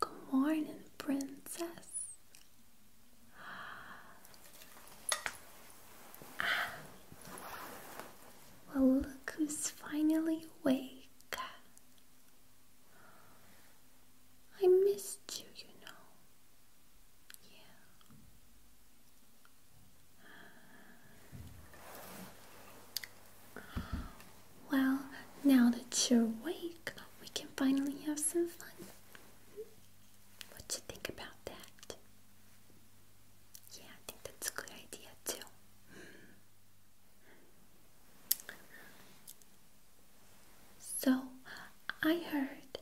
Good morning, princess. Well, look who's finally awake. I missed you, you know. Yeah. Well, now that you're awake, we can finally have some fun. What do you think about that? Yeah, I think that's a good idea too. So, I heard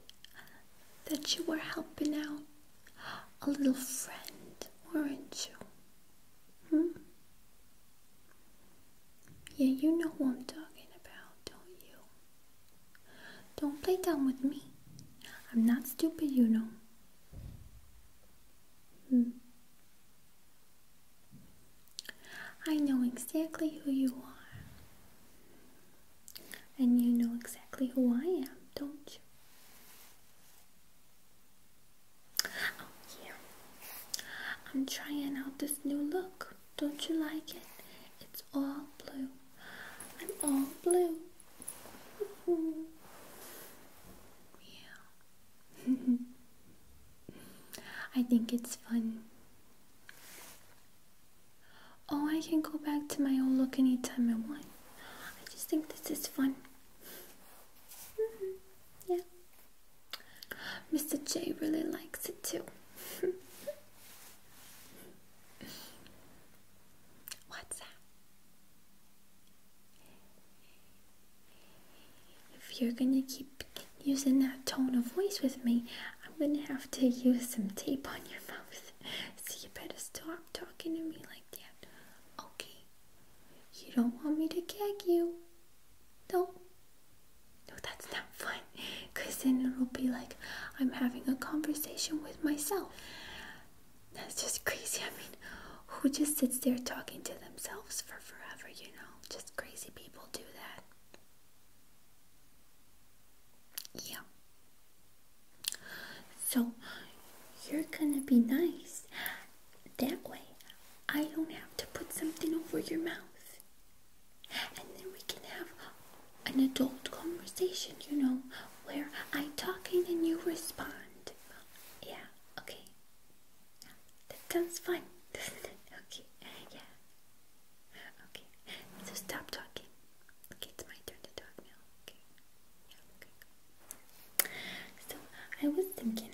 that you were helping out a little friend, weren't you? Hmm? Yeah, you know what I'm talking about, don't you? Don't play dumb with me. I'm not stupid, you know. Hmm. I know exactly who you are. And you know exactly who I am, don't you? Oh, I'm trying out this new look. Don't you like it? It's all blue. I'm all blue. yeah. I think it's fun. Oh, I can go back to my old look anytime I want. I just think this is fun. Yeah. Mr. J really likes it too. What's that? If you're gonna keep using that tone of voice with me, I'm gonna have to use some tape on your mouth. so you better stop talking to me like that. Okay. You don't want me to gag you. No. No, that's not fun. Because then it'll be like I'm having a conversation with myself. That's just crazy. I mean, who just sits there talking to themselves for forever, you know? Just crazy people do that. Yeah. So, you're gonna be nice that way, I don't have to put something over your mouth. And then we can have an adult conversation, you know, where I'm talking and you respond. Yeah, okay. Yeah, that sounds fun, Okay, yeah. Okay, so stop talking. Okay, it's my turn to talk now. Okay, yeah, okay. So I was thinking,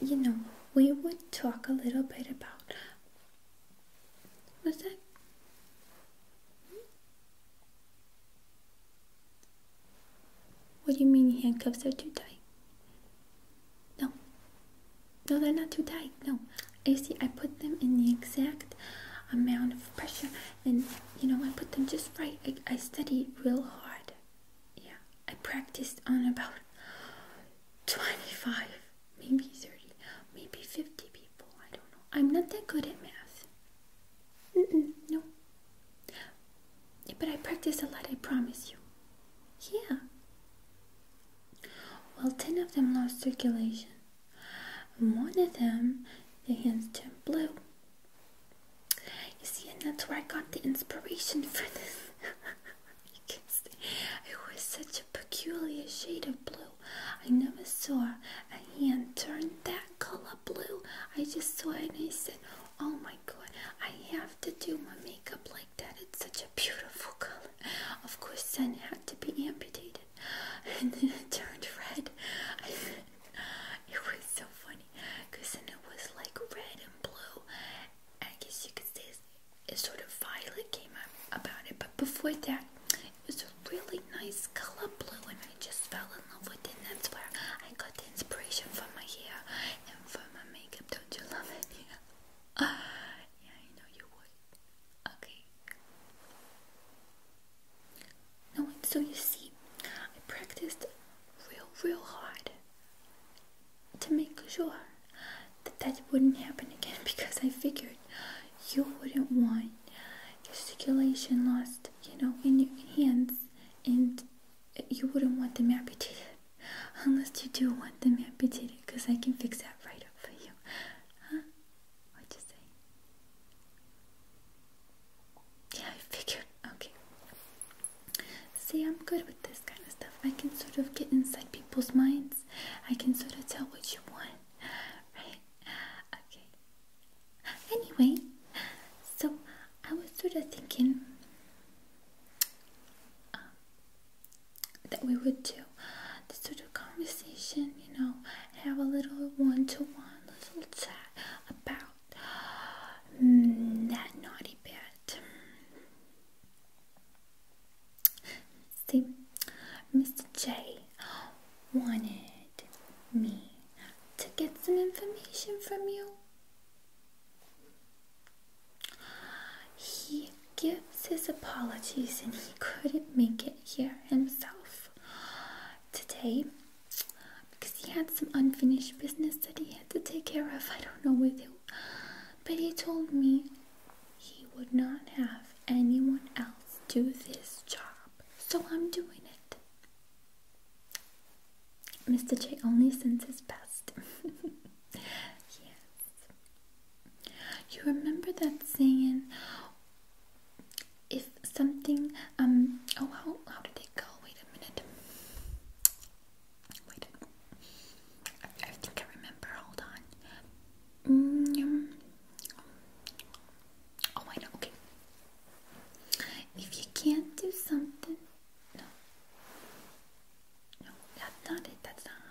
you know, we would talk a little bit about. What's that? What do you mean handcuffs are too tight? No. No, they're not too tight. No. You see, I put them in the exact amount of pressure and you know I put them just right. I, studied real hard. Yeah, I practiced on about 25, maybe 30, maybe 50 people. I don't know. I'm not that good at math. Mm no. But I practiced a lot, I promise you. Yeah. Well, 10 of them lost circulation. One of them, the hands turned blue. You see, and that's where I got the inspiration for this. you can see, it was such a peculiar shade of blue. I never saw a hand turn that color blue. I just saw it and I said, Oh my god, I have to do my makeup like that. It's such a beautiful color. Of course, then had to be amputated. And then it turned red. it was so funny because then it was like red and blue. I guess you could say it's sort of violet came up about it, but before that, it was a really nice color blue, and I just fell in love with it. And that's where I got the inspiration from my hair and for my makeup. Don't you love it? yeah, I know you would. Okay. No, and so you see, I practiced real, real hard to make sure that that wouldn't happen again because I figured you wouldn't want your circulation lost, you know, in your hands, and you wouldn't want them amputated unless you do want them amputated because I can fix that right up for you. Huh? What'd you say? Yeah, I figured. Okay. See, I'm good with this kind of stuff. I can sort of get inside people's minds. I can sort of tell what you want. Right? Okay. Anyway, so I was sort of thinking um, that we would do this sort of conversation, you know, have a little one to one little chat about that mm, naughty bit. See, Mr. J wanted me to get some information from you. He gives his apologies and he couldn't make it here himself. Today because he had some unfinished business that he had to take care of. I don't know with who, but he told me he would not have anyone else do this job, so I'm doing it. Mr. J only sends his best. yes. You remember that saying, if something um oh how how did they go? Wait a minute. Wait. I, think I remember. Hold on. Mm, um, oh, I know. Okay. If you can't do something, no, no, that's not it. That's not how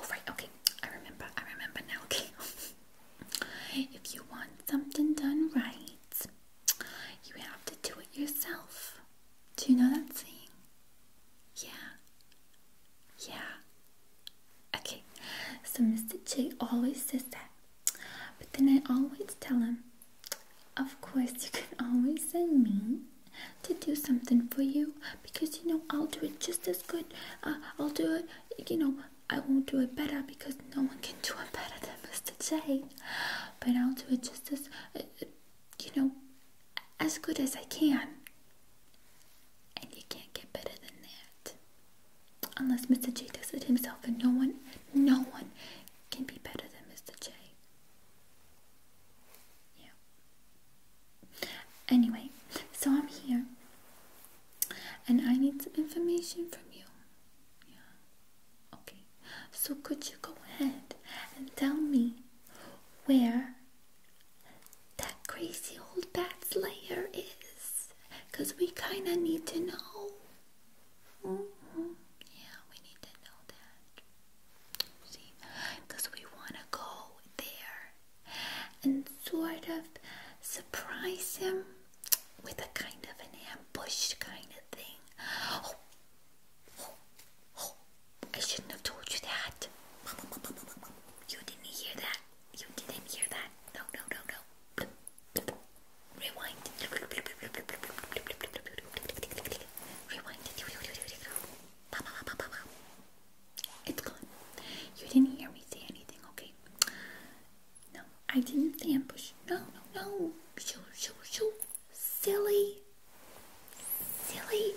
Oh right. Okay, I remember. I remember now. Okay. If you want something done right, you have to do it yourself. Do you know that saying? Yeah. Yeah. Okay, so Mr. J always says that. But then I always tell him, of course, you can always send me to do something for you because you know I'll do it just as good. Uh, I'll do it, you know, I won't do it better because no one can do it better than Mr. J. But I'll do it just as, uh, you know, as good as I can. And you can't get better than that. Unless Mr. J does it himself, and no one, no one can be better than Mr. J. Yeah. Anyway, so I'm here and I need some information from you. Yeah. Okay. So could you go ahead and tell me where that crazy old batslayer is? Cause we kinda need to know. Mm-hmm. Yeah, we need to know that. See, cause we wanna go there and sort of surprise him with a kind of an ambush kind of thing. Oh, oh, oh, I shouldn't have told you that. You didn't hear that. You didn't hear that. No, no, no, no. Rewind. Rewind. It's gone. You didn't hear me say anything, okay? No, I didn't ambush. No, no, no. Shoo, shoo, shoo. Silly. Silly.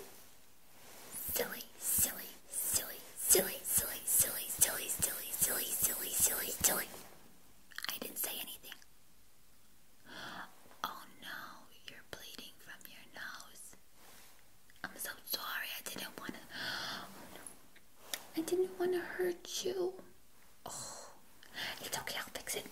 Silly, silly, silly, silly, silly, silly, silly, silly, silly, silly, silly, silly. I didn't say anything. Oh no, you're bleeding from your nose. I'm so sorry. I didn't want to. Oh no. I didn't want to hurt you. Oh, it's okay, I'll fix it.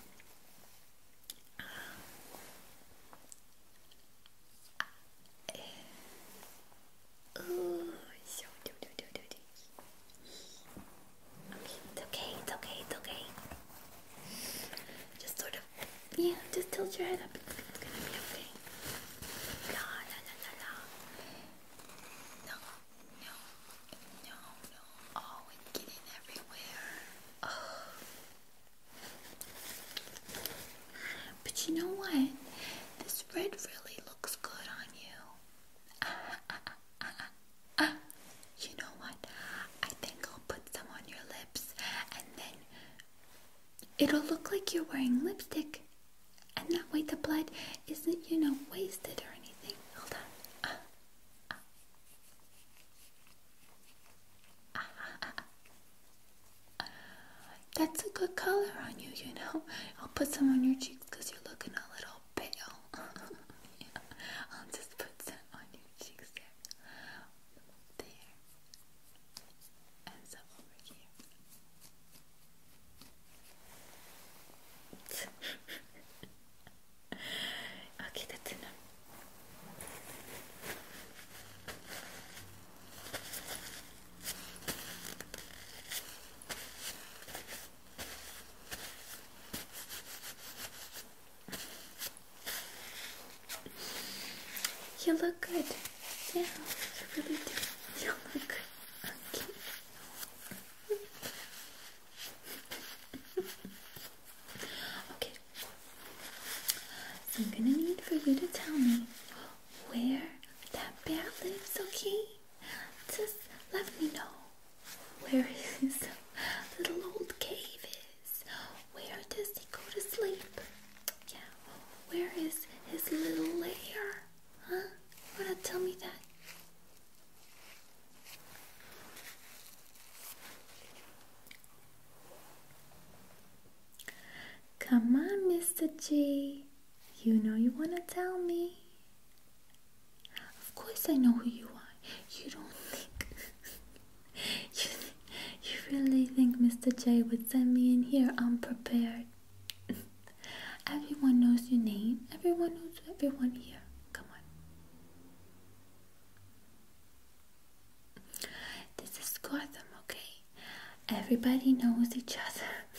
it's okay, it's okay, it's okay. Just sort of, yeah, just tilt your head up. It's gonna be okay. No, no, no, no. Oh, it's getting everywhere. Oh. But you know what? This red really looks good on you. You know what? I think I'll put some on your lips and then it'll look like you're wearing lipstick and that way the blood isn't, you know, wasted or anything. Hold on. that's a good color on you, you know. I'll put some on your cheeks because you're looking a little pale. I'll just put some on your cheeks there. There. And some over here. I'll get you look good. Yeah, you really do. You look good. Okay okay. I'm gonna need for you to tell me where that bear lives, okay? Just let me know where his little old cave is. Where does he go to sleep? Yeah, where is his little lair? Huh? Why not tell me that? Come on, Mr. G. You know you want to tell me. Of course, I know who you are. You don't think. you, you really think Mr. J would send me in here unprepared? everyone knows your name. Everyone knows everyone here. Come on. This is Gotham, okay? Everybody knows each other.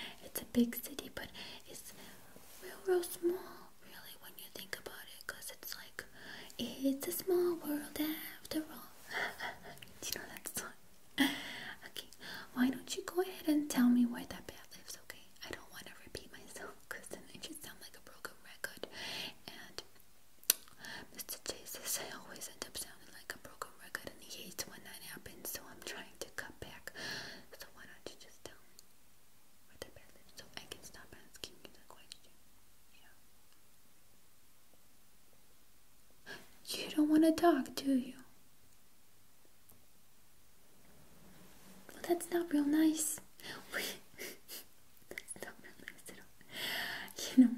it's a big city, but it's real, real small, really, when you think about it, because it's like, it's a small world after all. Do you know that song? okay, why don't you go ahead and tell me where that bed lives, okay? I don't want to repeat myself because then I just sound like a broken record. And Mr. Jesus, I always end up sounding like a broken record and he hates when that happens, so I'm trying to cut back. So why don't you just tell me where the bed lives so I can stop asking you the question? You don't want to talk, do you? Well, that's not real nice. You know,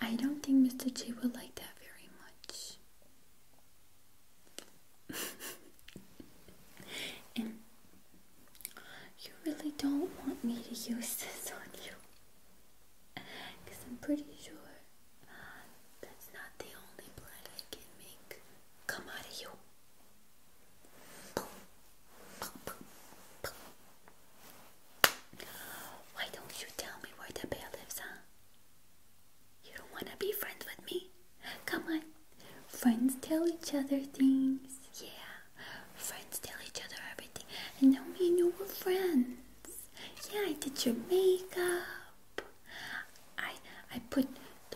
I don't think Mr. G will like that very much. you really don't want me to use this on you. Because I'm pretty sure that's not the only blood I can make come out of you. Why don't you tell me where the bear lives, huh? You don't want to be friends with me? Come on. Friends tell each other things. Yeah. Friends tell each other everything. And now me and you are friends. Yeah, I did your makeup. I I put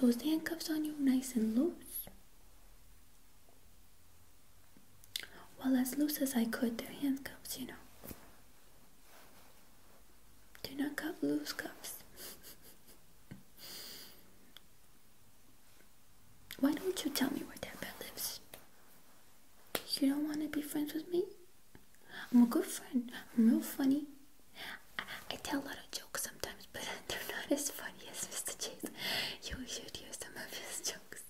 those handcuffs on you nice and loose. Well, as loose as I could, The handcuffs, you know. Do not cut loose cuffs. Why don't you tell me where that bed lives? You don't want to be friends with me? I'm a good friend. I'm real funny. I, tell a lot of jokes sometimes, but they're not as funny as Mr. Chase. You should hear some of his jokes.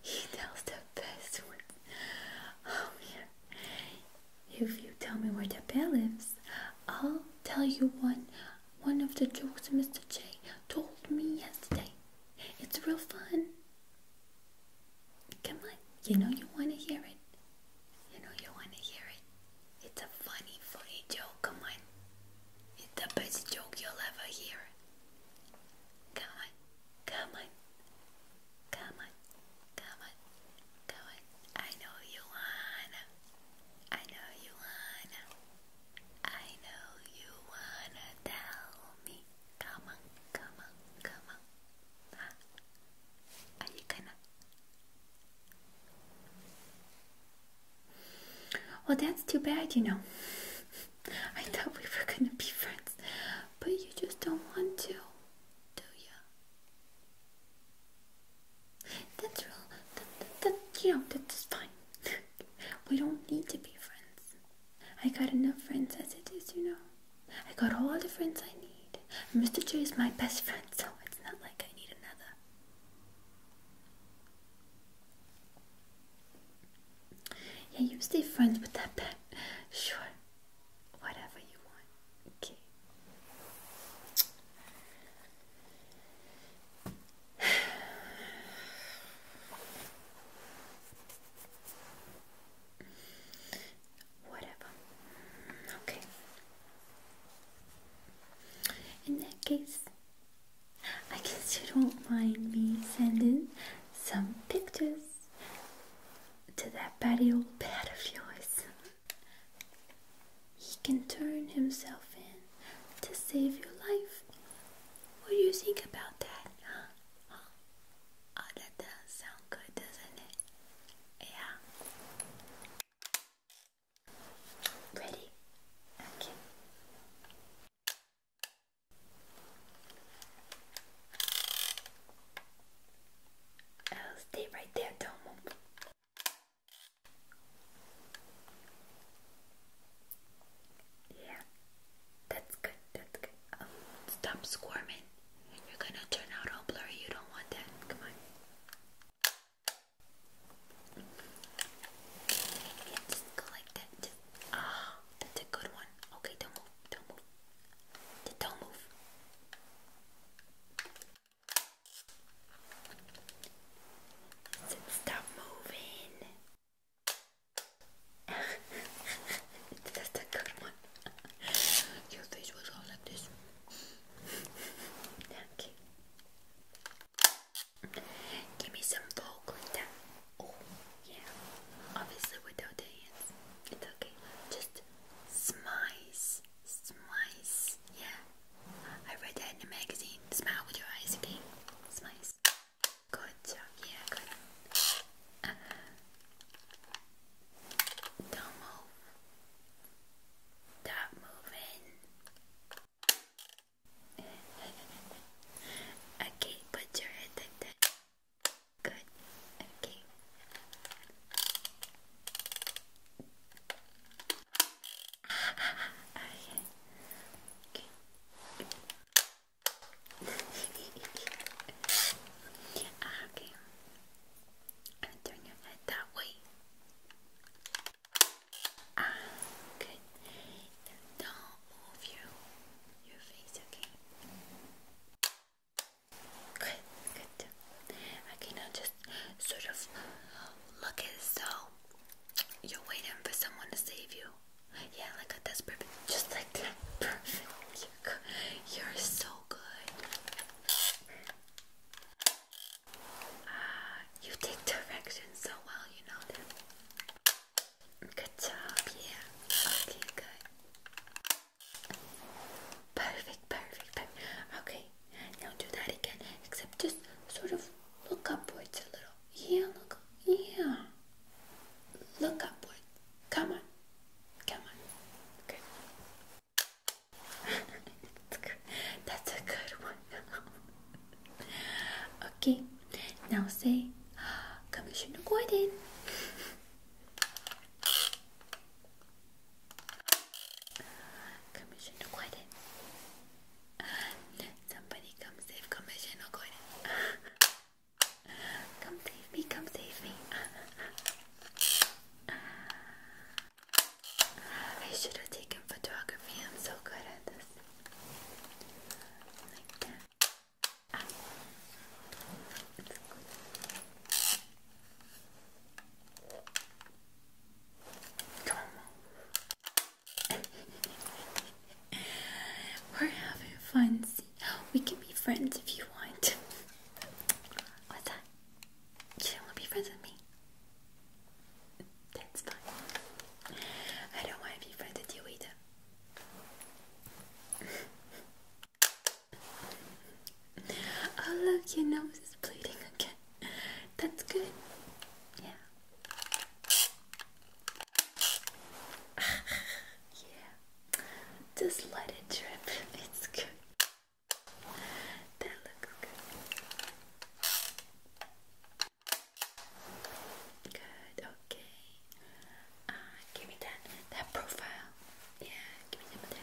He tells the best ones. Oh man. If you tell me where the bear lives, I'll tell you one one of the jokes Mr. J told me yesterday. It's real fun. Come on, you know you want to hear it. You know you want to hear it. It's a funny, funny joke. Come on. It's the best joke you'll ever hear. Come on, come on, come on, come on, come on. I know you wanna. I know you wanna. I know you wanna tell me. Come on, come on, come on. Huh? Well, that's too bad, you know. I thought we were gonna be friends, but you just don't want to, do you? That's real. that, that, you know, that's fine. we don't need to be friends. I got enough friends as it is, you know. I got all the friends I need. Mr. J is my best friend, so it's not like I need another. Yeah, you stay friends with that pet. Sure. Whatever you want. Okay whatever. Okay. In that case, I guess you don't mind me sending some pictures to that patty old bed of yours. He can turn himself in to save your life. What do you think about that? Oh, that does sound good, doesn't it? Yeah. Ready? Okay. stay right there, don't move. Yeah, that's good, that's good. Oh, stop squirming. You're gonna turn out all blurry. You don't want that. Come on. go like that. ah, that's a good one. Okay, don't move. Don't move. Don't move. Stop moving. that's a good one. Your face was all like this. okay. Give me some vocal down. Oh, yeah. Obviously without the hands. It's okay. Just smiles. Smiles. Yeah. I read that in the magazine. Smile with your eyes, okay? Smiles. Good Yeah, good. Don't move. Stop moving. okay, put your head like that. Good. Okay. okay. okay and turn your head that way. Ah, good. don't move your your face, okay? Good, good. Okay, now just sort of look as though you're waiting for someone to save you. Yeah, like that. That's Just like that. Perfect. You're so uh, you take directions so well, you know that. Good job, yeah. Okay, good. Perfect, perfect, perfect. Okay, now do that again, except just sort of look upwards a little. Yeah, look, yeah. Look upwards. Come on. Come on. Good. That's a good one. okay. Now say Commissioner Gordon. Commissioner Gordon. Somebody come save Commissioner Gordon. Come save me, come save me. I should have taken photography. I'm so good at this. Come on. We're having fun. we can be friends if you want. What's that? You don't want to be friends with me? That's fine. I don't want to be friends with you either. oh look, your nose is bleeding again. That's good. Yeah. yeah. Just let it drip. It's good. That looks good. Good. Okay. Uh, give me that that profile. Yeah. Give me that.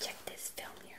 Check this film here.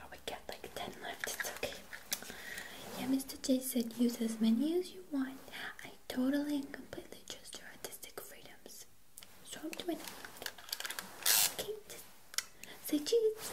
I would get like 10 left, it's okay. Yeah, Mr. J said use as many as you want. I totally and completely trust your artistic freedoms. So I'm doing it. Kate, say cheese.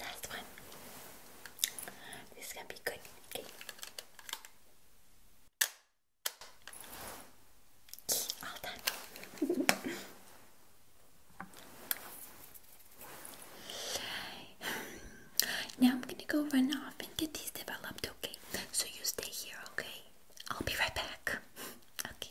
Last one. This is gonna be good. Okay. All done. now I'm gonna go run off and get these developed, okay? So you stay here, okay? I'll be right back. okay.